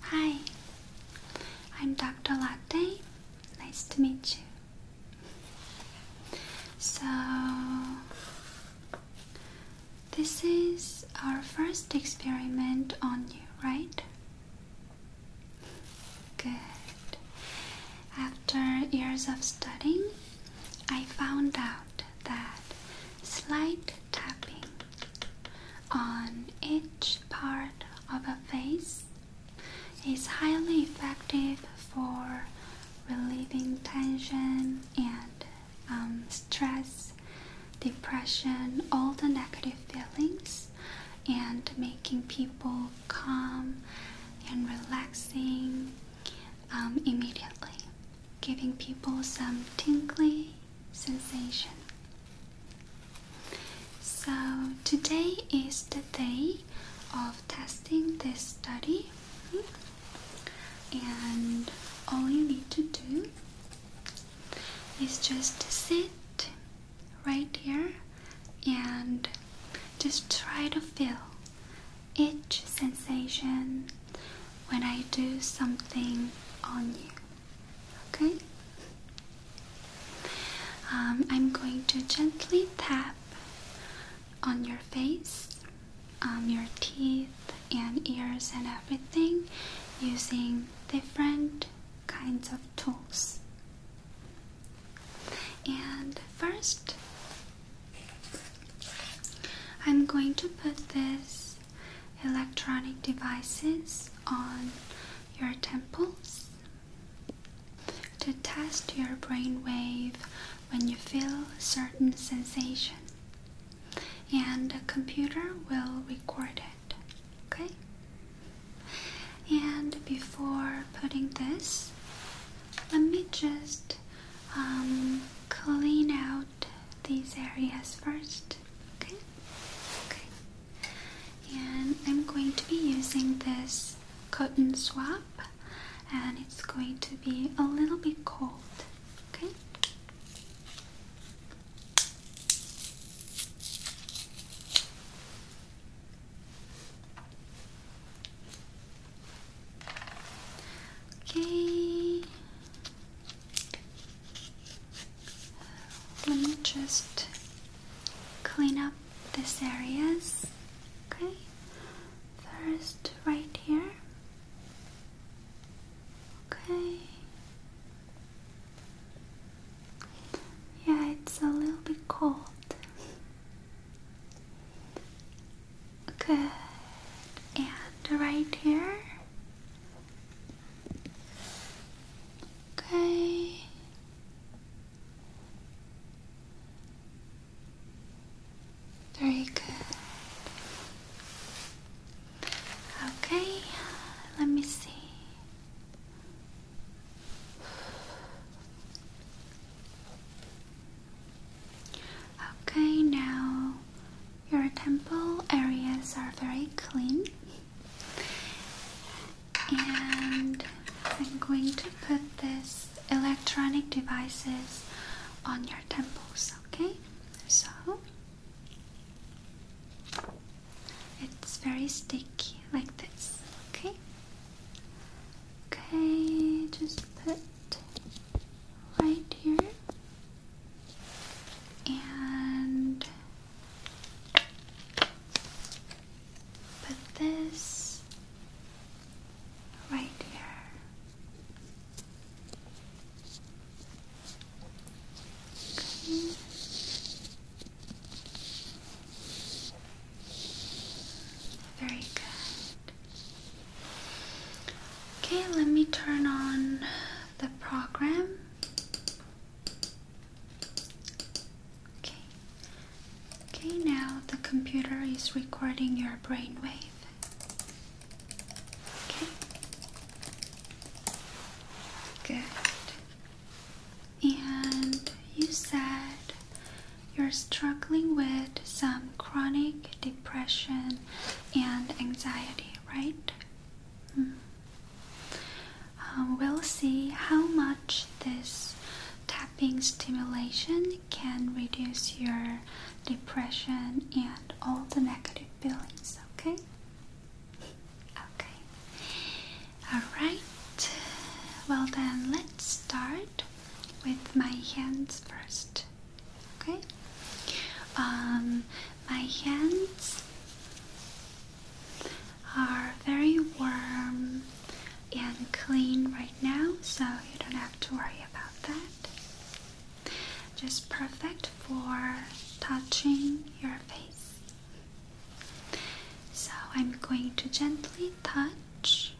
Hi, I'm Dr. Latte. Nice to meet you. So, this is our first experiment on you, right? Good. After years of studying, I found out that slight tapping on each part of a face is highly effective for relieving tension and um, stress, depression, all the negative feelings, and making people people calm and relaxing um, immediately, giving people some tingly sensation. So, today is the day of testing this study, and all you need to do is just sit right here and just try to feel each sensation when I do something on you. Okay? Um, I'm going to gently tap on your face, um, your teeth, and ears, and everything using different kinds of tools. And first, I'm going to put this electronic devices on your temples to test your brain wave when you feel a certain sensation. And the computer will record it. Okay? And before putting this, let me just um, clean out these areas first. Okay? Okay. And I'm going to be using this cotton swab, and it's going to be a little bit cold. Okay? Okay. Let me just clean up this areas. Okay. First, right here. Okay. Yeah, it's a little bit cold. Good. And right here. Okay. Very good. Okay, let me see. Okay, now your temple areas are very clean, and I'm going to put this electronic devices on your temples. Okay, so it's very sticky like this. Okay. Okay, just put right here and put this right here. Okay. Very good. Okay, let me turn on the program. Okay. Okay, now the computer is recording your brainwave. Okay. Good. And you said you're struggling with some chronic depression and anxiety, right? Hmm. Um, we'll see how much this tapping stimulation can reduce your depression and all the negative feelings, okay? Okay. Alright. Well, then let's start with my hands first. Okay? Um, my hands are very warm and clean right now, so you don't have to worry about that. Just perfect for touching your face. So I'm going to gently touch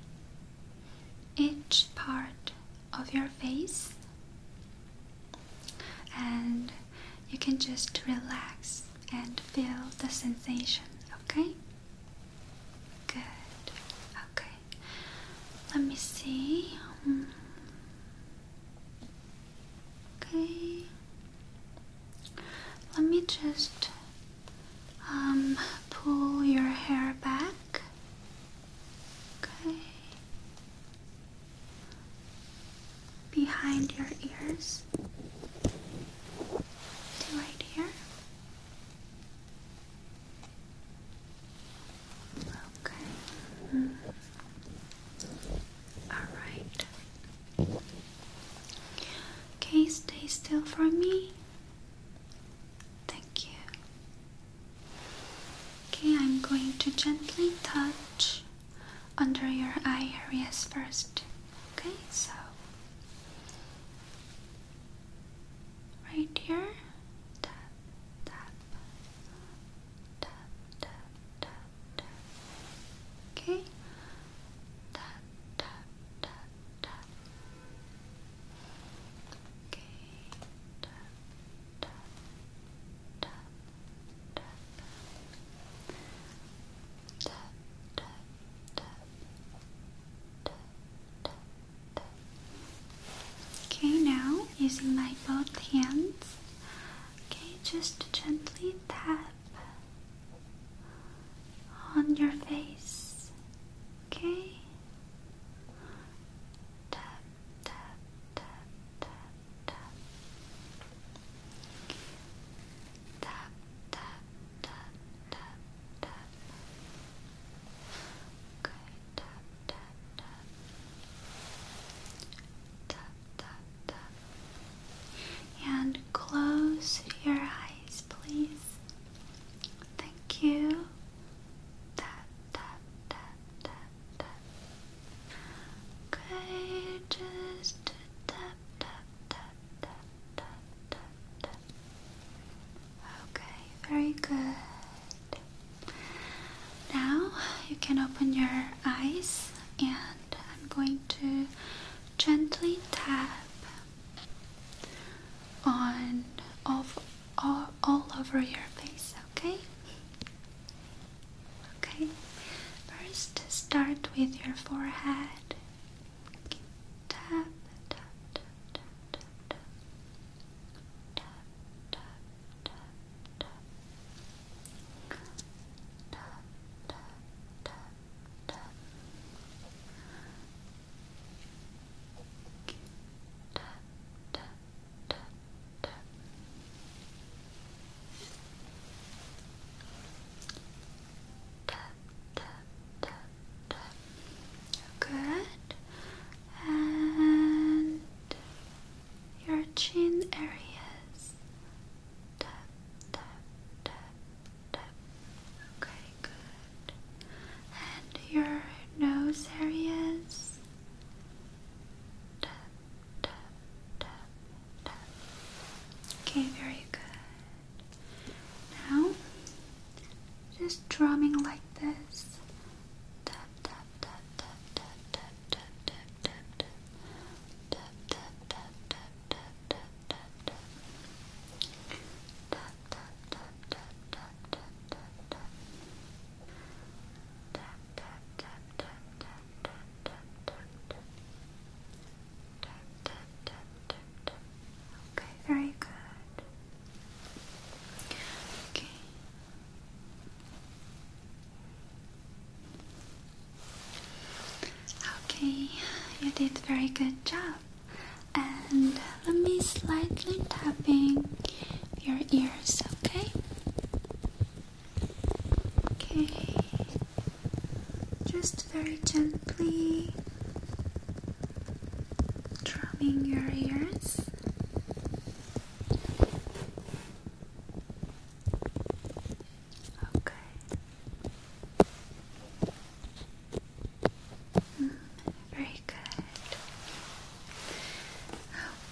each part of your face and you can just relax and feel the sensation, okay? Good. Okay. Let me see. Hmm. Okay. Let me just um, pull your hair back. Okay. Behind your ears right here. Okay. Mm. Alright. Okay, stay still for me. Thank you. Okay, I'm going to gently touch under your eye areas first. Okay, so right here. Tap, tap, tap, tap, tap, Okay. Tap, tap, tap, tap. Okay, Okay, now using my both hands, okay, just gently Tap, on your face. Okay? Tap, tap, tap, tap, tap. Tap, tap, tap, tap, tap. Okay, tap, tap, tap. Tap, tap, tap. And close your eyes, please. Thank you. Tap, tap, tap, tap, tap. Okay, just tap, tap, tap, tap, tap, tap, Okay, very good. Now you can open your eyes, and I'm going to gently tap on off all, all over your face, okay? Okay. First start with your forehead. tap. Tap, tap, tap, tap. Tap, tap, tap, tap tap, tap, tap, tap. Tap, tap, tap, tap. Good. And your chin areas. Tap, tap, tap, Okay, good. And your nose areas. Tap, tap, tap, tap. Okay, very good. Now, just drumming like this. tap, tap, tap, tap, tap, tap, tap. Tap, tap, tap, tap, tap, tap, tap, tap. Tap, Okay, very good. Okay. Okay, you did very good job and let me slightly tapping your ears, okay? Okay, just very gently drumming your ears. Okay very good.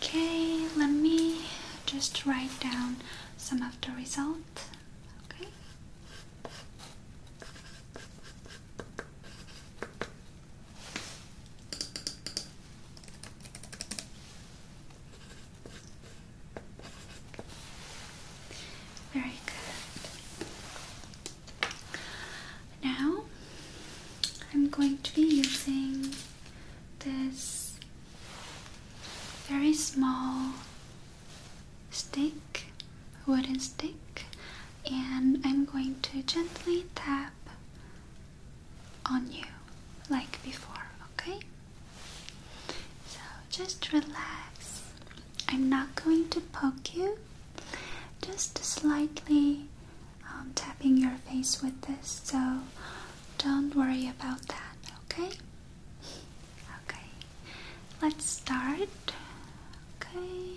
Okay, let me just write down some of the results. Okay. Very good. Now I'm going to be using this very small stick, wooden stick, and I'm going to gently tap on you like before, okay? So just relax I'm not going to poke you, just slightly um, tapping your face with this, so don't worry about that, okay? Okay, let's start. Okay,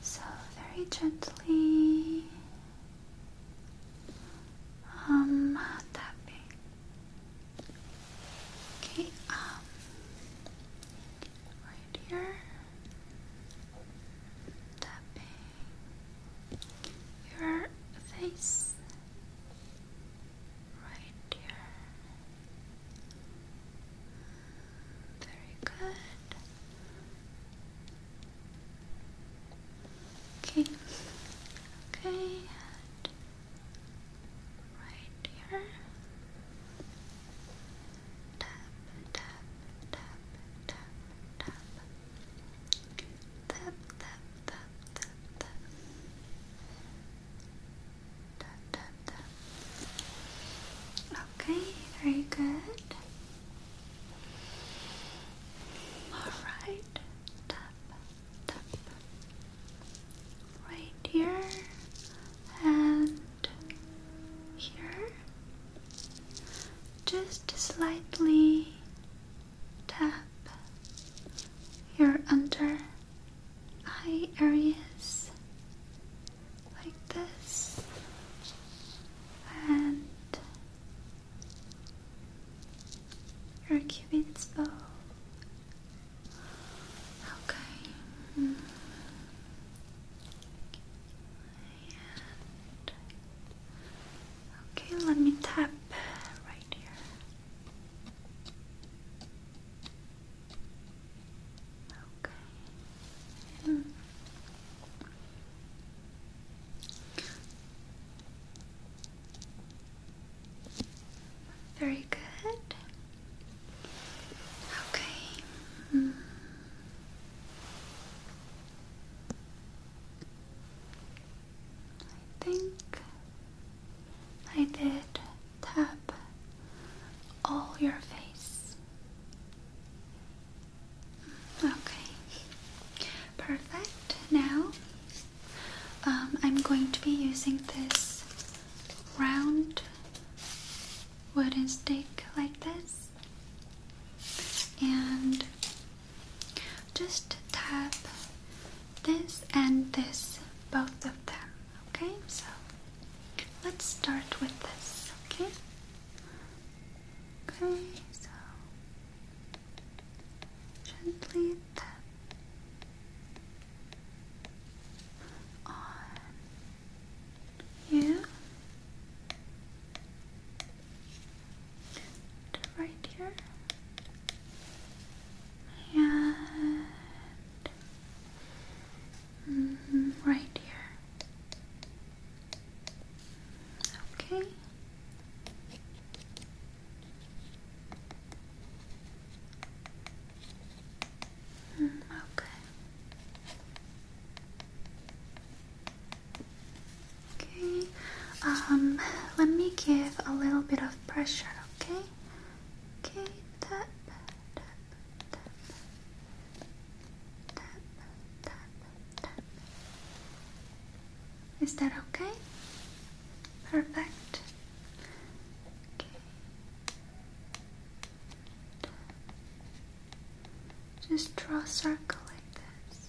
so very gently. Um, tapping. Okay, um, right here. Tapping your face right here. Very good. Okay. Okay right here. Tap, tap, tap, tap, tap. Tap, tap, tap, tap, tap. Tap, tap, tap. Okay, very good. All right. Tap, tap right here and here, just slightly tap your under eye areas like this and your cupid's bow Okay. And okay, let me tap right here. Okay. very good. Okay. Mm. I think I did tap all your face. Mm, okay, perfect. Now um, I'm going to be using this round wooden stick like this and just tap this and this, both of them. Okay, so let's start with this. Okay, okay, so gently tap on here right here and mm-hmm, right here. Okay. Mm, okay. Okay. Um, let me give a little bit of pressure, okay? Okay, tap, tap, tap, tap, tap, tap. Is that okay? Perfect. Okay. Just draw a circle like this.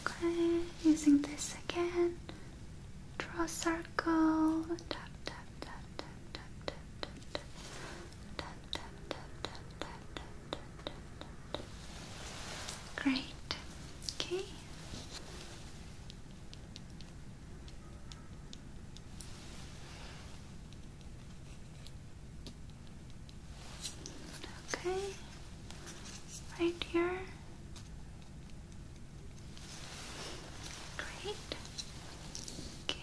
Okay. Using this again. Draw a circle. Great. Okay. Okay. Right here. Great. Okay.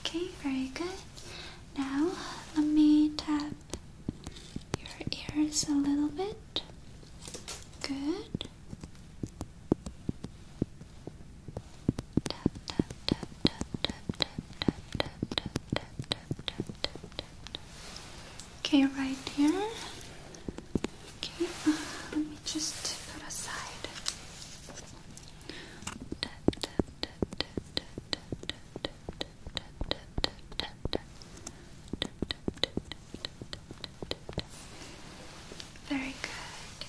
Okay, very good. Now let me tap your ears a little bit. Good. Tap tap tap tap tap tap tap tap tap tap tap Okay, right here. Okay, let me just put aside. Very good.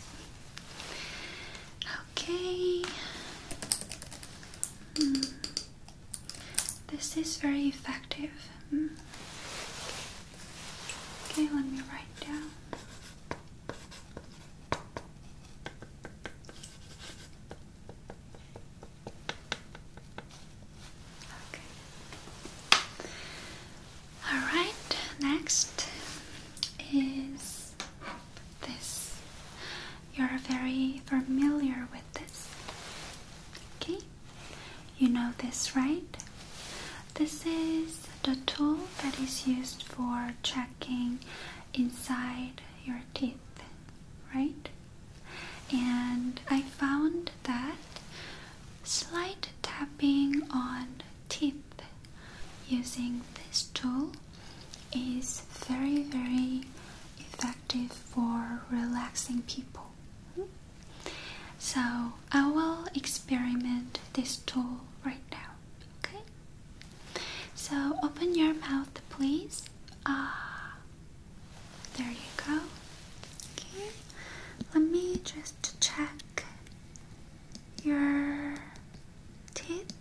Okay. Hmm. This is very effective. Hmm. Okay, let me write down. Okay. All right. Next is this. You're very familiar with this. Okay. You know this, right? This is the tool that is used for checking inside your teeth, right? And I found that slight tapping on teeth using this tool is very, very effective for relaxing people. So, I will experiment this tool right now. Okay. So open your mouth, please. Ah, there you go. Okay. Let me just check your teeth.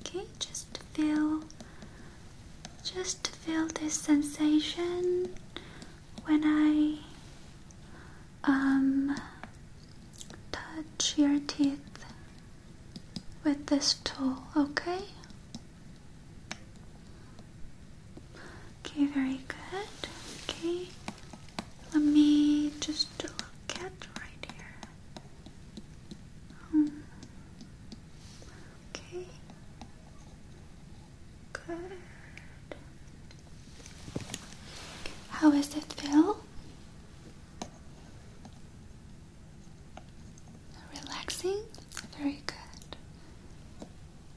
Okay, just feel, just feel this sensation when I um, touch your teeth with this tool, okay? Okay, very good. Okay, let me just look right here. Hmm. okay, good. How does it feel? Relaxing? Very good.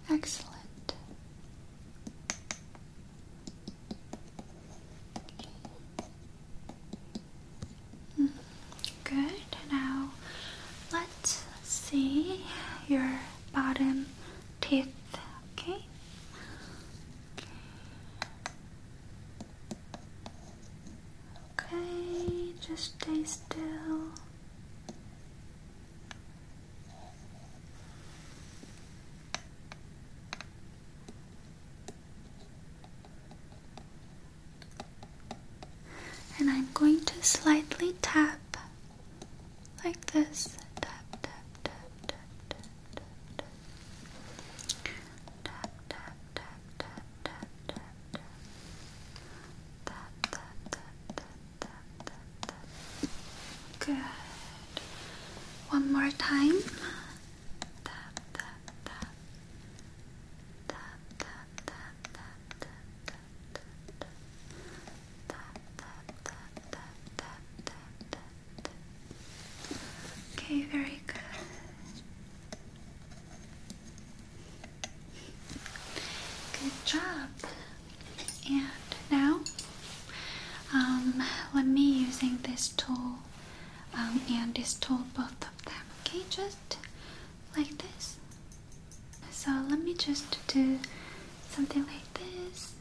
Excellent. Hmm, good. Now let's see your bottom teeth. okay. Okay, just stay still. And I'm going to slightly tap like this. Tap, tap, tap, tap, Good. One more time. Tap, tap, tap. Tap, tap, tap, tap, tap, tap, tap, tap, tap, tap, tap, tap, tap, tap. Okay, very good. Good job. And now, um, let me using this tool um, and this tool, both of them. Okay, just like this. So let me just do something like this.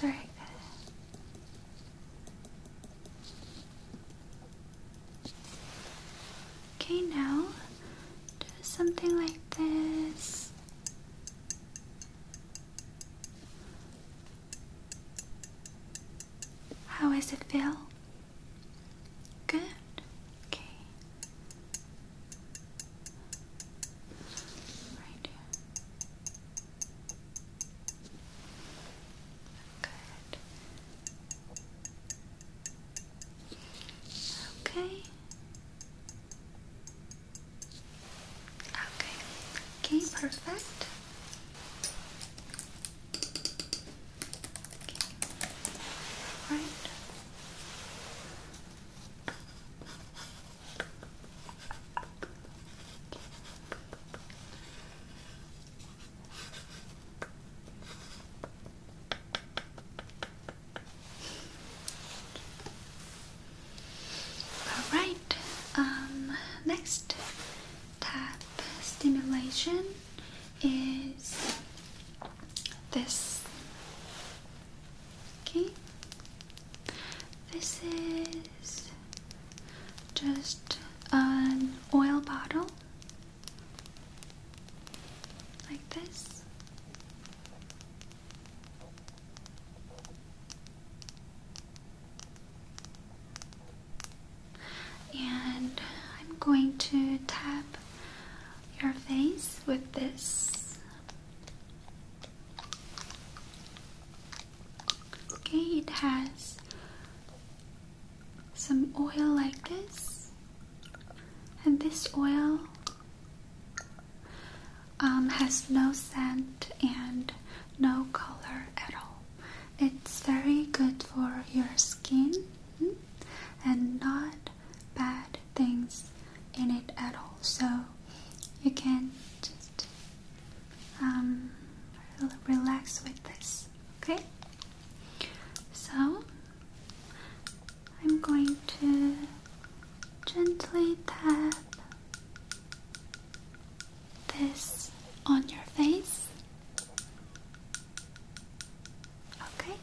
Very Okay, now do something like this how is it feel? Good. Okay. Right here. Good. Okay. Okay. Okay, perfect. Right. Alright, um, next tap stimulation is this. Okay, this is just an oil bottle like this. And I'm going to tap your face with this. Okay, it has some oil like this, and this oil um, has no scent and no color at all. It's very good for your skin and not bad things in it at all. So you can just um, relax with this, okay? So I'm going to gently tap this on your face. Okay,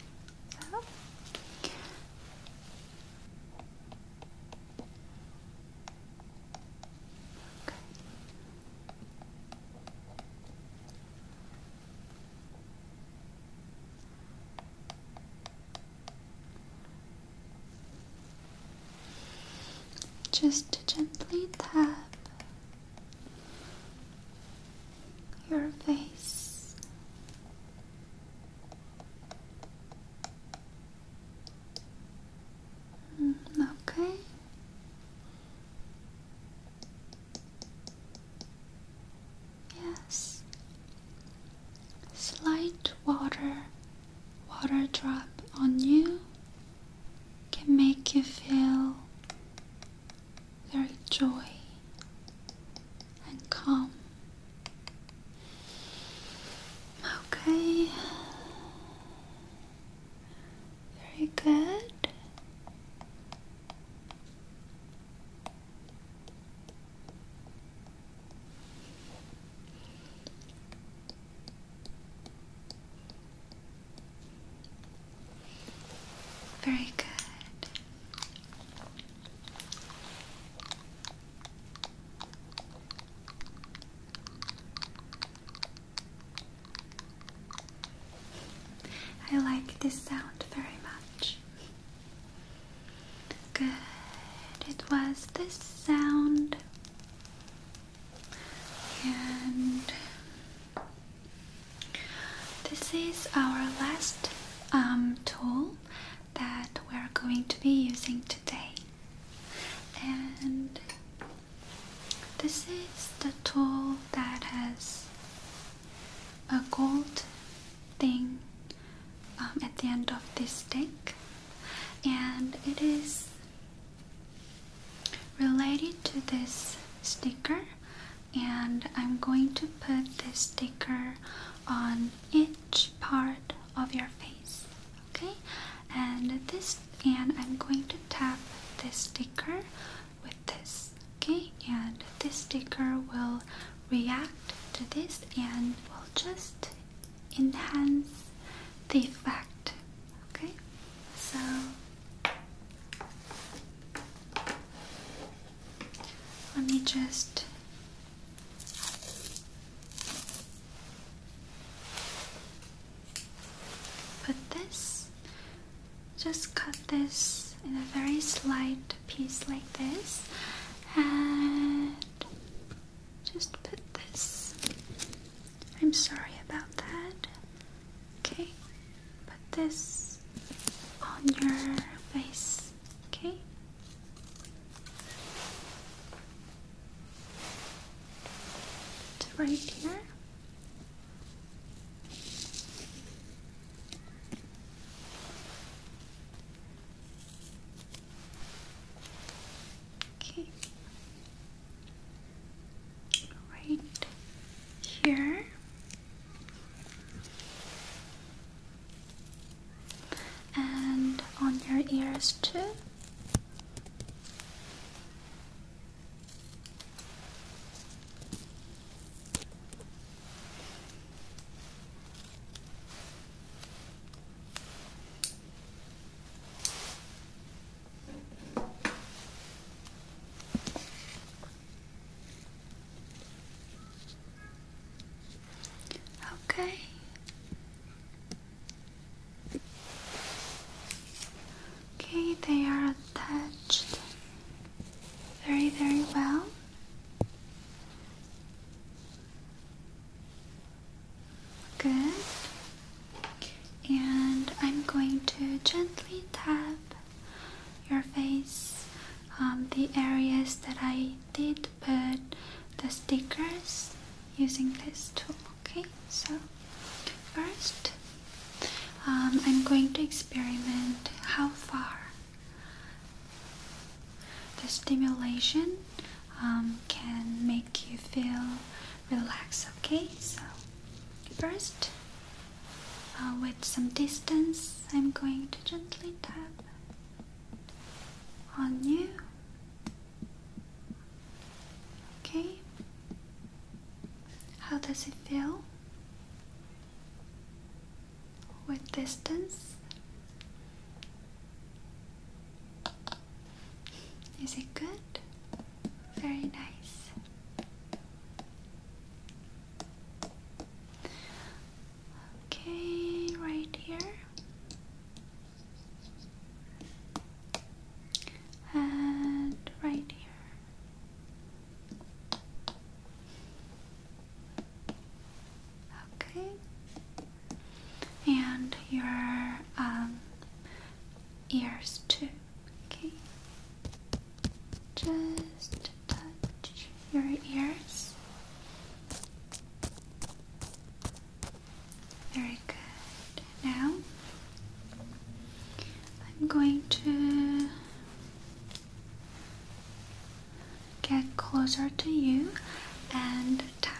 just gently tap your face. Mm, okay. Yes. Slight water water drop on you can make you feel very joy and calm. Okay, very good. Very good. I like this sound very much. Good. It was this sound and this is our last um, tool that we're going to be using today and this is the tool that has a gold thing um, at the end of this stick and it is related to this sticker and I'm going to put this sticker on each part of your face okay and this and I'm going to tap this sticker with this okay and this sticker will react to this and will just enhance the effect. Okay, so let me just put this, just cut this in a very slight piece like this, and just put this. I'm sorry about that. Okay, put this on your face. Okay. right here. Okay. Right here. And on your ears too. Okay. Okay, they are attached very, very well. Good. And I'm going to gently tap your face on the areas that I did put the stickers using this tool. Okay, so first um, I'm going to experiment how far the stimulation um, can make you feel relaxed, okay? So, first, uh, with some distance, I'm going to gently tap on you, okay? How does it feel? With distance, is it good? Very nice. Okay, right here. And right here. Okay and your um, ears too. Okay, just touch your ears. Very good. Now I'm going to get closer to you and tap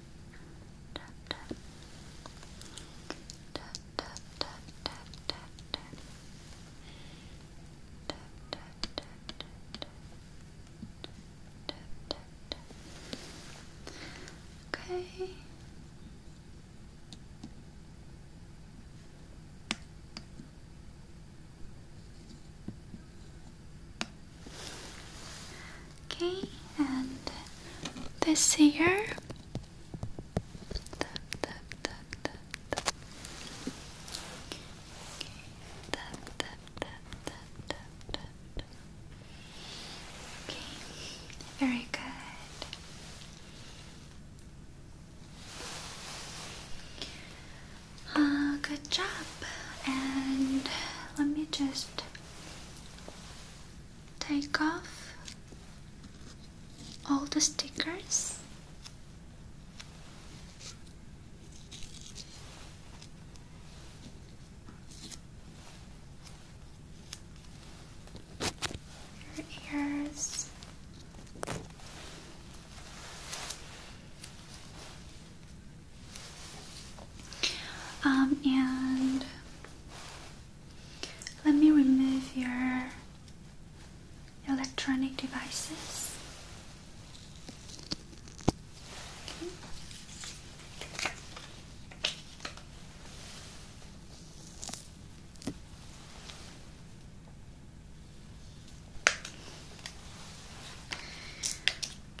okay Okay, and this here tap, Okay. Very good. Uh, good job. And let me just take off all the stickers. Your ears. Um, and let me remove your electronic devices.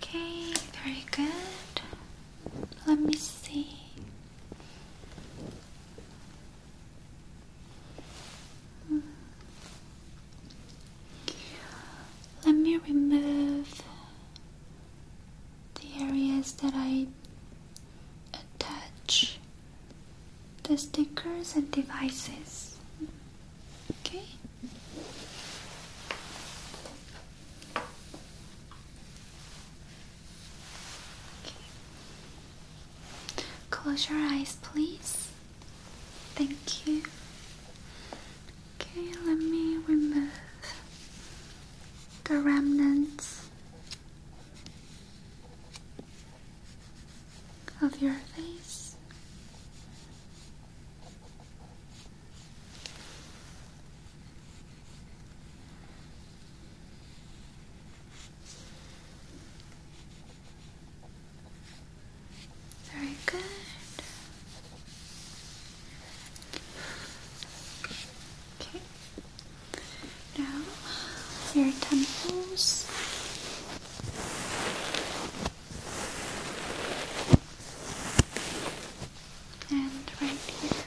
Okay. very good. Let me see. Let me remove the areas that I attach the stickers and devices. Okay. Close your eyes, please. Thank you. Okay, let me remove the remnants of your face. Very good. Okay. Now your temples and right here.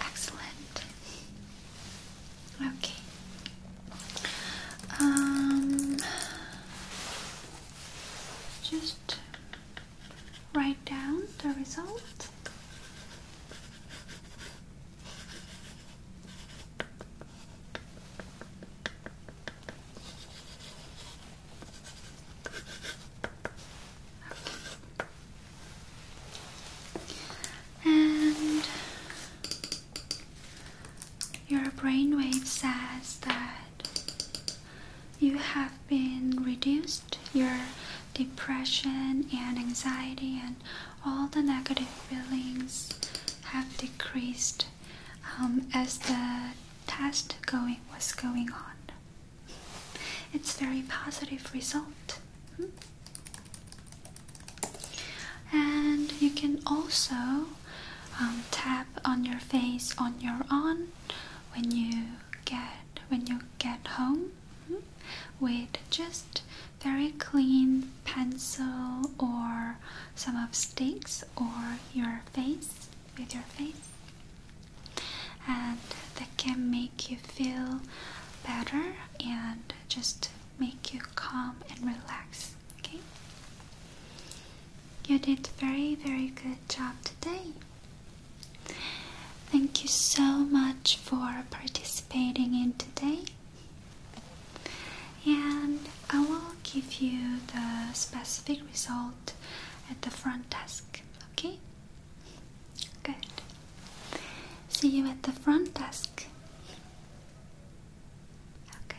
Excellent. Okay. Um, just write down the result. And your brainwave says that you have been reduced, your depression and anxiety and all the negative feelings have decreased um, as the test going was going on. It's very positive result. Hmm? And you can also um, tap on your face on your own when you get when you get home hmm, with just very clean pencil or some of sticks or your face with your face and that can make you feel better and just make you calm and relax okay you did very very good job today thank you so much for participating in today and I will give you the specific result at the front desk. Okay? Good. See you at the front desk. Okay.